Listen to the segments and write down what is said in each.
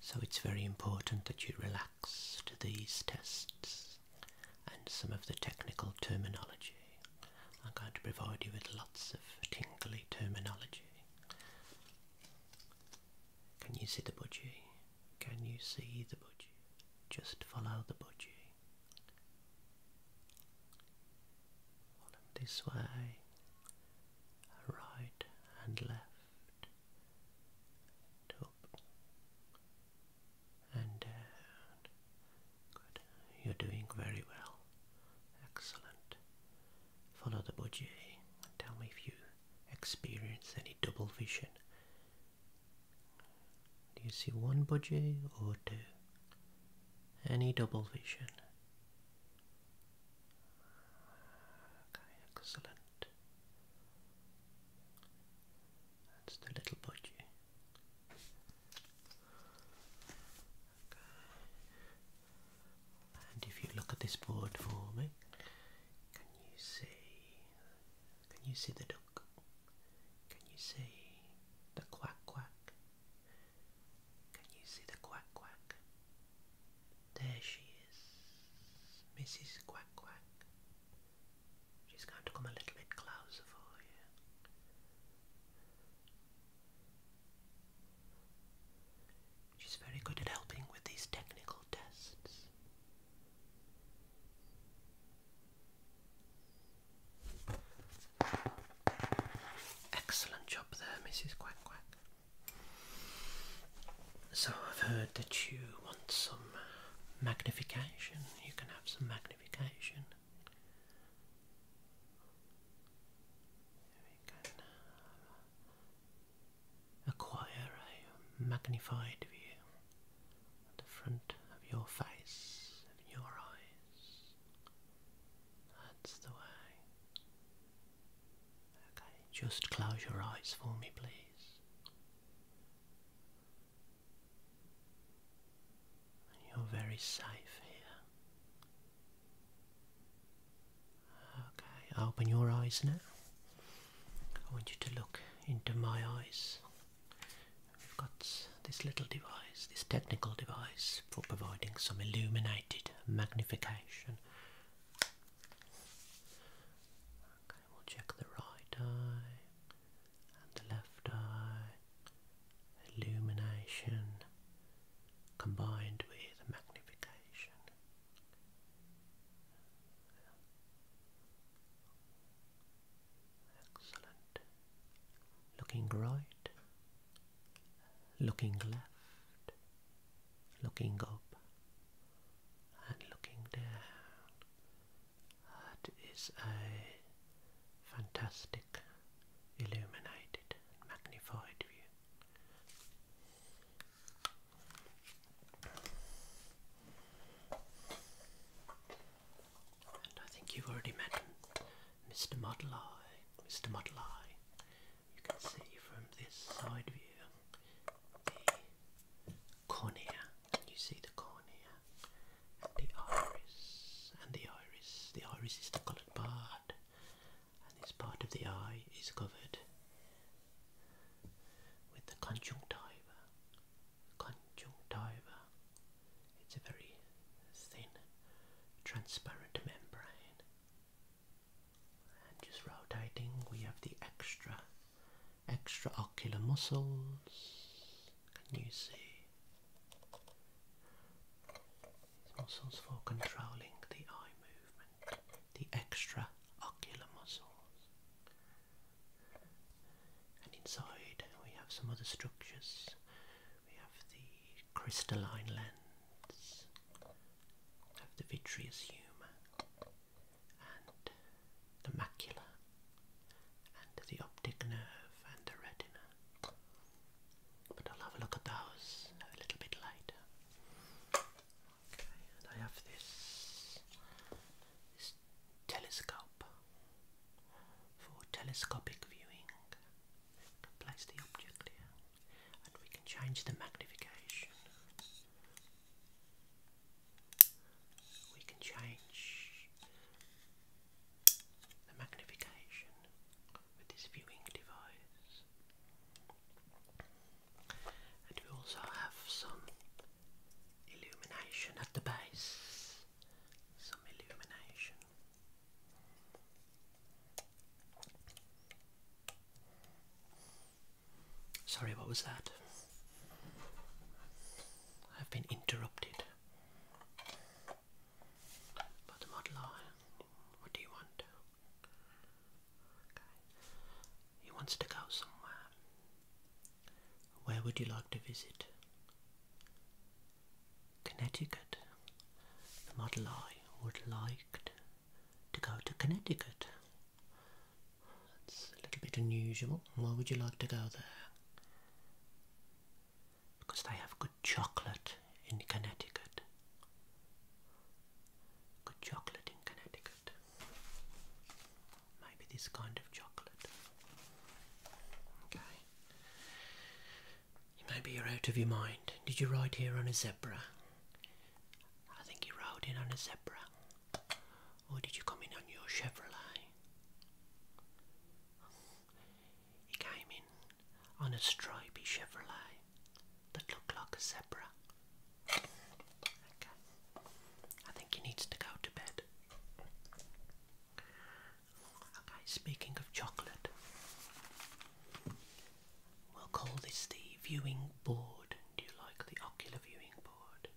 So it's very important that you relax to these tests and some of the technical terminology. I'm going to provide you with lots of tingly terminology. Can you see the budgie? Can you see the budgie? Just follow the budgie. this way right and left, up and down. Good, you're doing very well. Excellent. Follow the budgie and tell me if you experience any double vision. Do you see one budgie or two? Any double vision? Okay, excellent. That's the little budgie. And if you look at this board for me, can you see? Can you see the duck? Can you see the quack quack? Can you see the quack quack? There she is, Mrs. Quack Quack. She's going to come a little bit closer for you. She's very good at helping with these technical tests. Excellent job there, Mrs. Quack Quack. So I've heard that you want some magnification. You can have some magnification. We can uh, acquire a magnified view at the front of your face, of your eyes. That's the way. Okay, just close your eyes for me, please. You're very safe here. Okay, open your eyes now. I want you to look into my eyes. We've got this little device, this technical device for providing some illuminated magnification Okay, we'll check the right eye and the left eye. Illumination combined with magnification. Excellent. Looking right, looking left, looking up and looking down. That is a fantastic, illuminated, and magnified view. And I think you've already met Mr. Model Eye, Mr. Model Eye you can see from this side view the cornea. You see the cornea, and the iris, and the iris. The iris is the coloured part, and this part of the eye is covered with the conjunctiva. Conjunctiva. It's a very thin, transparent membrane and just rotating we have the extra ocular muscles can you see muscles for controlling the eye movement the extra ocular muscles and inside we have some other structures we have the crystalline lens of the vitreous humour and the macula and the optic nerve and the retina. But I'll have a look at those a little bit later. Okay, and I have this, telescope for telescopic viewing. I place the object here and we can change the magnification. We can change the magnification with this viewing device. And we also have some illumination at the base. Some illumination. Sorry, what was that? I've been interrupted. But the modeler, what do you want? He wants to go somewhere. Where would you like to visit? Connecticut. The model I would like to go to Connecticut. That's a little bit unusual. Why would you like to go there? Because they have good chocolate in Connecticut. Good chocolate in Connecticut. Maybe this kind of chocolate. Okay. Maybe you're out of your mind. Did you ride here on a zebra? I think you rode in on a zebra. Or did you come in on your Chevrolet? You came in on a stripy Chevrolet that looked like a zebra. Okay. I think he needs to go to bed. Okay, speaking of chocolate, We'll call this the viewing board. Do you like the ocular viewing board?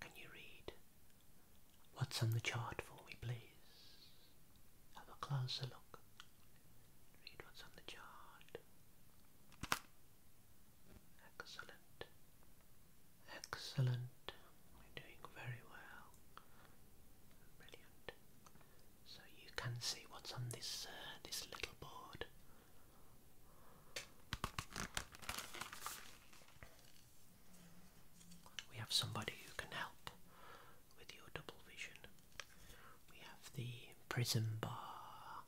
Can you read? What's on the chart for me, please? Have a closer look. Read what's on the chart. Excellent. Excellent. We're doing very well. Brilliant so you can see what's on this uh, this little board. We have somebody who can help with your double vision. We have the prism bar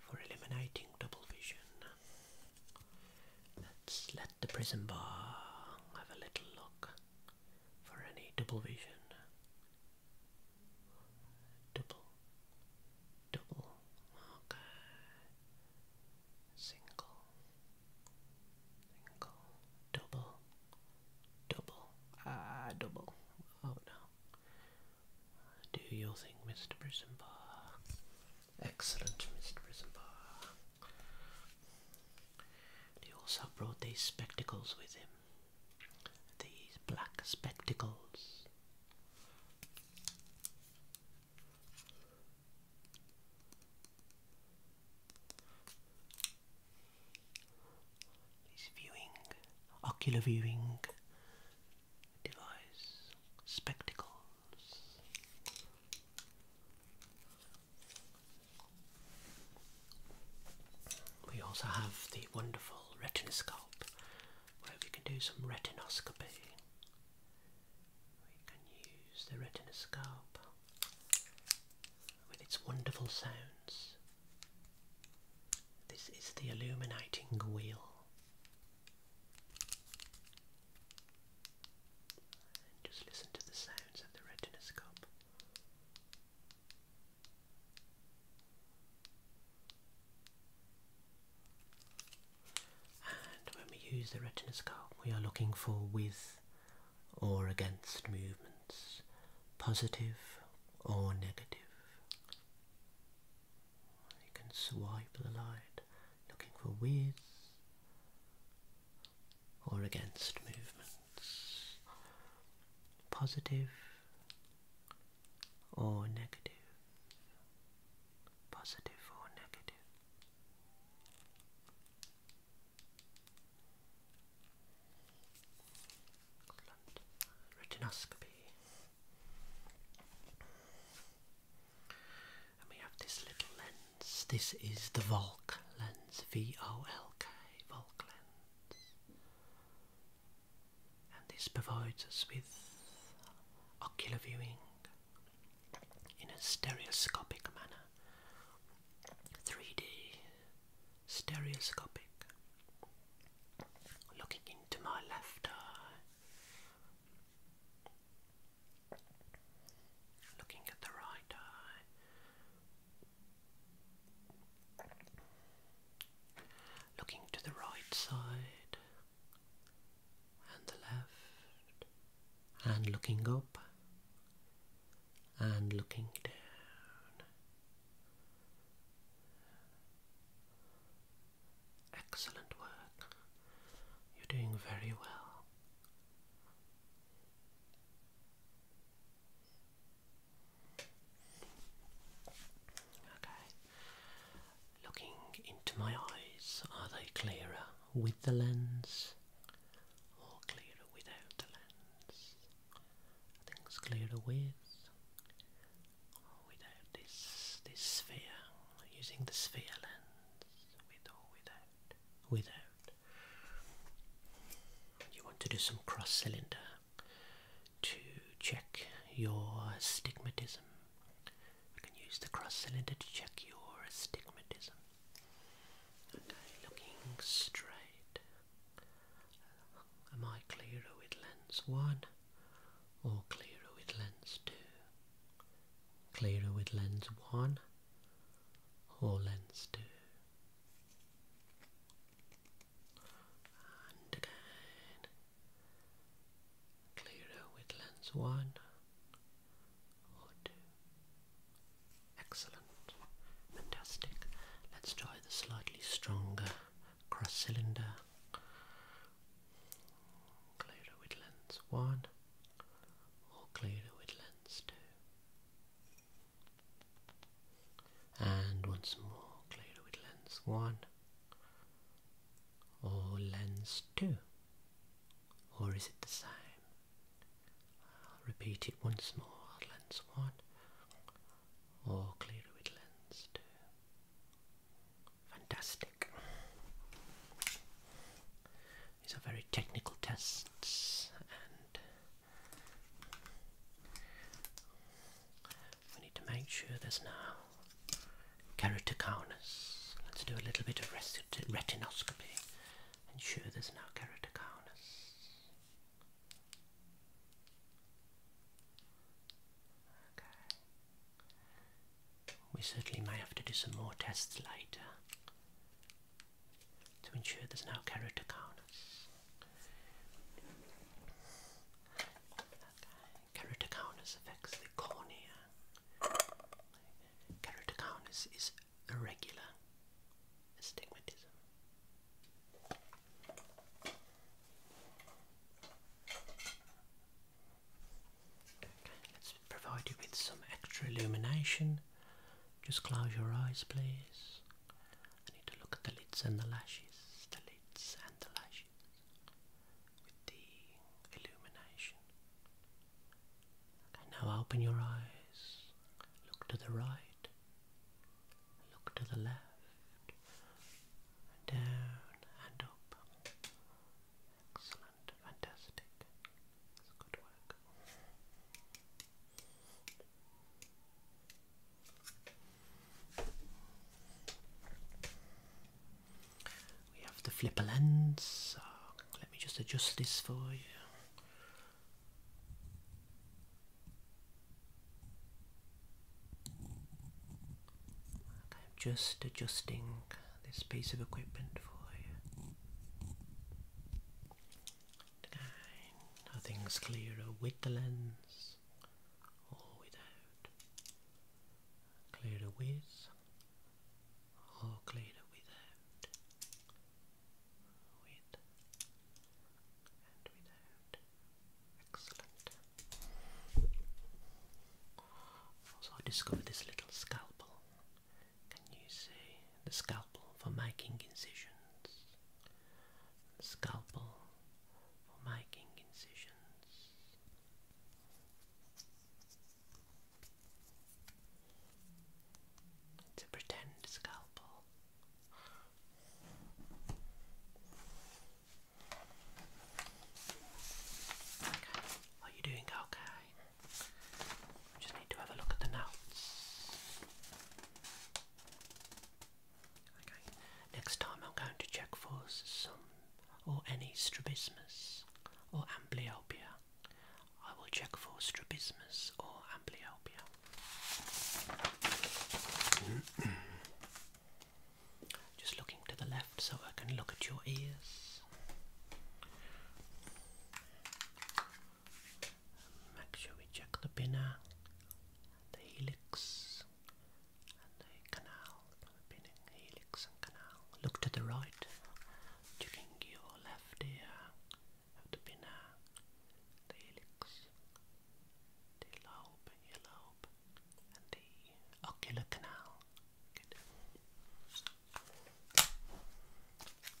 for eliminating double vision. Let's let the prism bar have a little look for any double vision. Double, double, okay. Single, single, double, double, ah, double. Oh no. Do your thing, Mr. Brisenbar. Excellent, Mr. Brisenbar he also brought these spectacles with him. These black spectacles. His viewing, ocular viewing device, spectacles. We also have the wonderful retinoscope where we can do some retinoscopy. We can use the retinoscope with its wonderful sounds. This is the illuminating wheel. just listen to the sounds of the retinoscope. And when we use the retinoscope, we are looking for with or against movements, positive or negative. You can swipe the light looking for with or against movements, positive or negative, positive or negative. Retinoscopy. And we have this little lens. This is the Volk lens, V O L K, volk and this provides us with ocular viewing in a stereoscopic manner. 3D, stereoscopic. Looking into my left eye, looking at the right eye, Looking to the right side and the left, and looking up and looking down. Excellent work. You're doing very well. Okay. Looking into my eyes, are they clearer with the lens or clearer without the lens? Things clearer with without this this sphere. Using the sphere lens, with or without. Without. You want to do some cross cylinder to check your astigmatism. You can use the cross cylinder to check your astigmatism. Okay, looking straight. Am I clearer with lens 1 or clearer with lens 2? Clearer with lens 1 or lens 2? And again, clearer with one or two. Excellent, fantastic. Let's try the slightly stronger cross cylinder. Clearer Whitlands one or clearer Whitlands two and once more clear with lens 1 or lens 2 or is it the same? I'll repeat it once more lens 1 or clear with lens 2 fantastic these are very technical tests and we need to make sure there's no keratoconus. Let's do a little bit of retinoscopy. Ensure there's no keratoconus. We certainly may have to do some more tests later to ensure there's no character corners. Keratoconus affects the cornea. Keratoconus is irregular astigmatism. Okay, let's provide you with some extra illumination just close your eyes, please. I need to look at the lids and the lashes, the lids and the lashes, with the illumination. now open your eyes. Look to the right. Look to the left. down and up. Excellent, fantastic. That's good. We have the flipper lens. let me just adjust this for you. I'm just adjusting this piece of equipment for you. Nothing's clearer with the lens or without. Clearer with or clearer without. With and without. Excellent. Also, I discovered this little scalpel. Can you see the scalpel for making incisions? scalpel for making incisions. It's a pretend scalpel. Okay. Are you doing okay? I just need to have a look at the notes. Okay, next time I'm going to check for some or any strabismus or amblyopia. I will check for strabismus or amblyopia. Just looking to the left so I can look at your ears. Make sure we check the pinna, the helix, and the canal. The pinning helix and canal. Look to the right during your left ear the pinna, the helix, the lobe, your lobe, and the ocular canal. Good.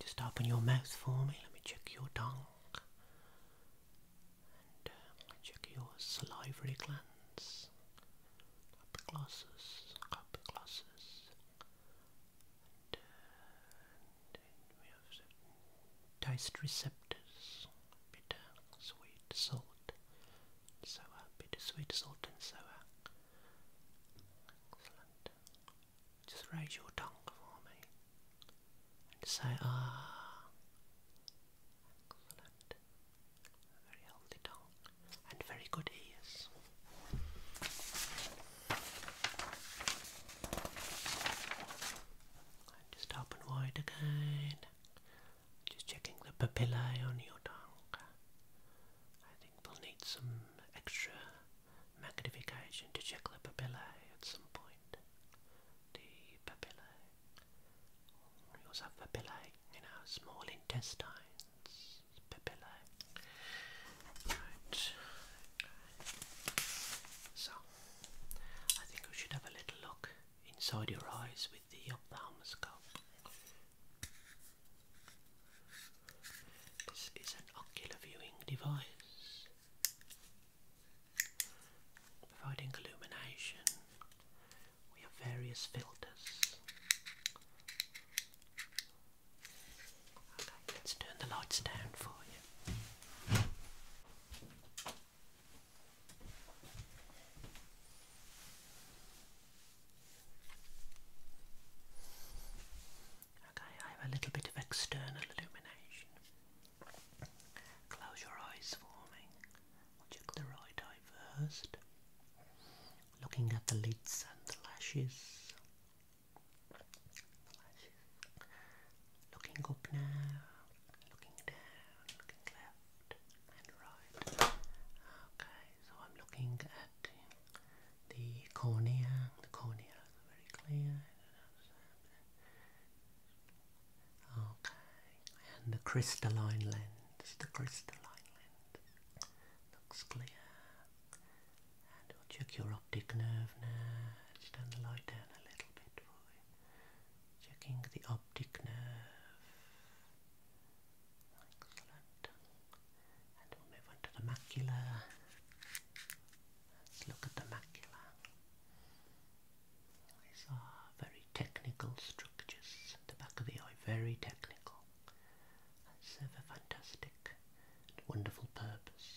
Just open your mouth for me. Let me check your tongue. Uh, check your salivary glands. Epiglossus, epiglossus. And, uh, and we have taste receptors. Bitter, sweet, salt, sour. Bitter, sweet, salt and sour. Excellent. Just raise your tongue for me and say ah. Excellent. Very healthy tongue and very good ears. And just open wide again. Just checking the papillae on your tongue. I think we'll need some extra magnification to check the papillae at some point. The papillae. We also have papillae in our small intestines. Papillae. Right. So, I think we should have a little look inside your eyes with the ophthalmoscope. This is an ocular viewing device providing illumination. We have various filters. Okay, let's turn the lights down for you. Okay, I have a little bit of external illumination. Close your eyes for me. Watch the right eye first. Looking at the lids and the lashes. The lashes. Looking up now, looking down, looking left and right. Okay, so I'm looking at the cornea, the cornea is very clear. Okay, and the crystalline lens, the crystalline lens looks clear. And we'll check your optic nerve now. Just turn the light down a little bit Checking the optic nerve. Excellent. And we'll move on the macula. Let's look at the macula. These are very technical structures at the back of the eye, very technical. That serve a fantastic wonderful purpose.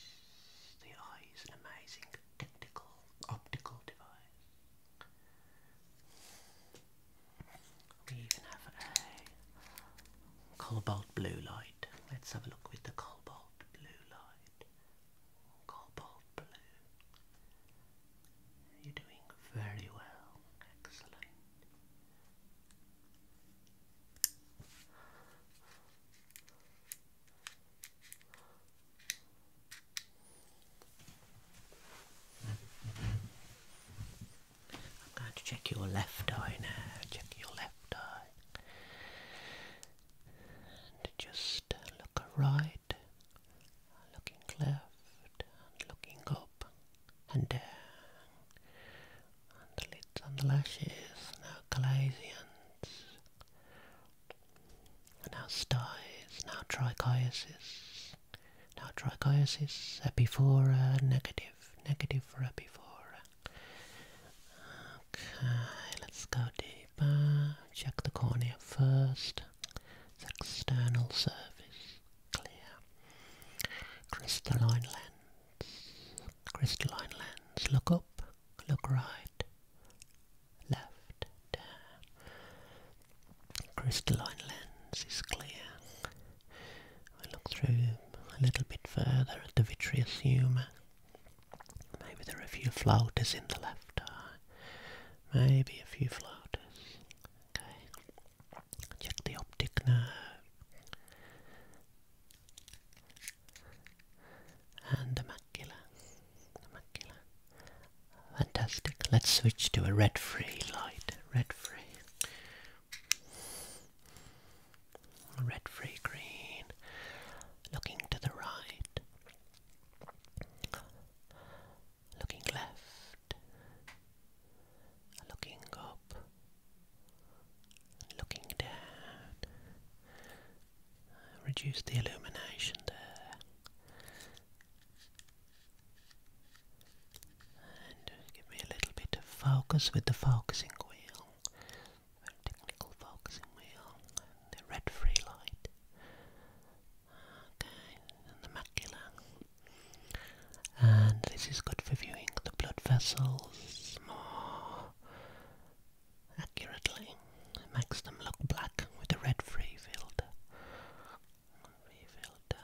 The eye is an amazing technical optical device. We even have a cobalt blue light. Let's have a look with the cobalt blue light. Cobalt blue. You're doing very well. Excellent. I'm going to check your left eye now. Check your left eye. And just look right, looking left, and looking up and down. And the lids on the lashes, now Calasians, now styes, now trichiasis, now trichiasis, epiphora, negative, negative for epiphora, Okay, let's go deeper. Check the cornea first. external surface, clear. Crystalline lens. Crystalline lens. Look up, look right, left, down. Crystalline lens is clear. I look through a little bit further at the vitreous humour. Maybe there are a few floaters in the left eye. Maybe a few floaters. Okay. Check the optic nerve. And the macula. The macula. Fantastic. Let's switch to a red free light. Red free. Red free green. Looking to the right. Looking left. Looking up. Looking down. Reduce the illumination there. And give me a little bit of focus with the focusing wheel vertical focusing wheel, the red free light. Okay, and the macula. And this is good for viewing the blood vessels more accurately. makes them look black with the red free filter. Free filter.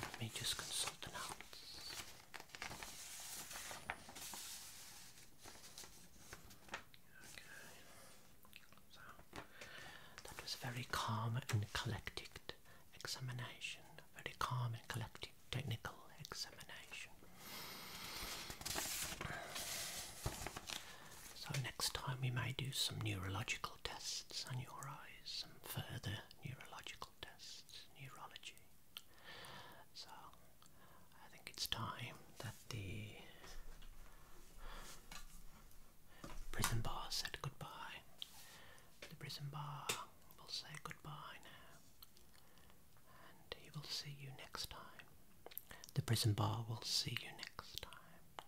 Let me just consult the notes. Okay. So that was a very calm and collected examination. a Very calm and collected technical examination. So next time we may do some neurological tests on your eyes, some further neurological tests, neurology. So I think it's time that the prison bar said goodbye. The prison bar will say goodbye now. And he will see you next time. The prison bar will see you next time.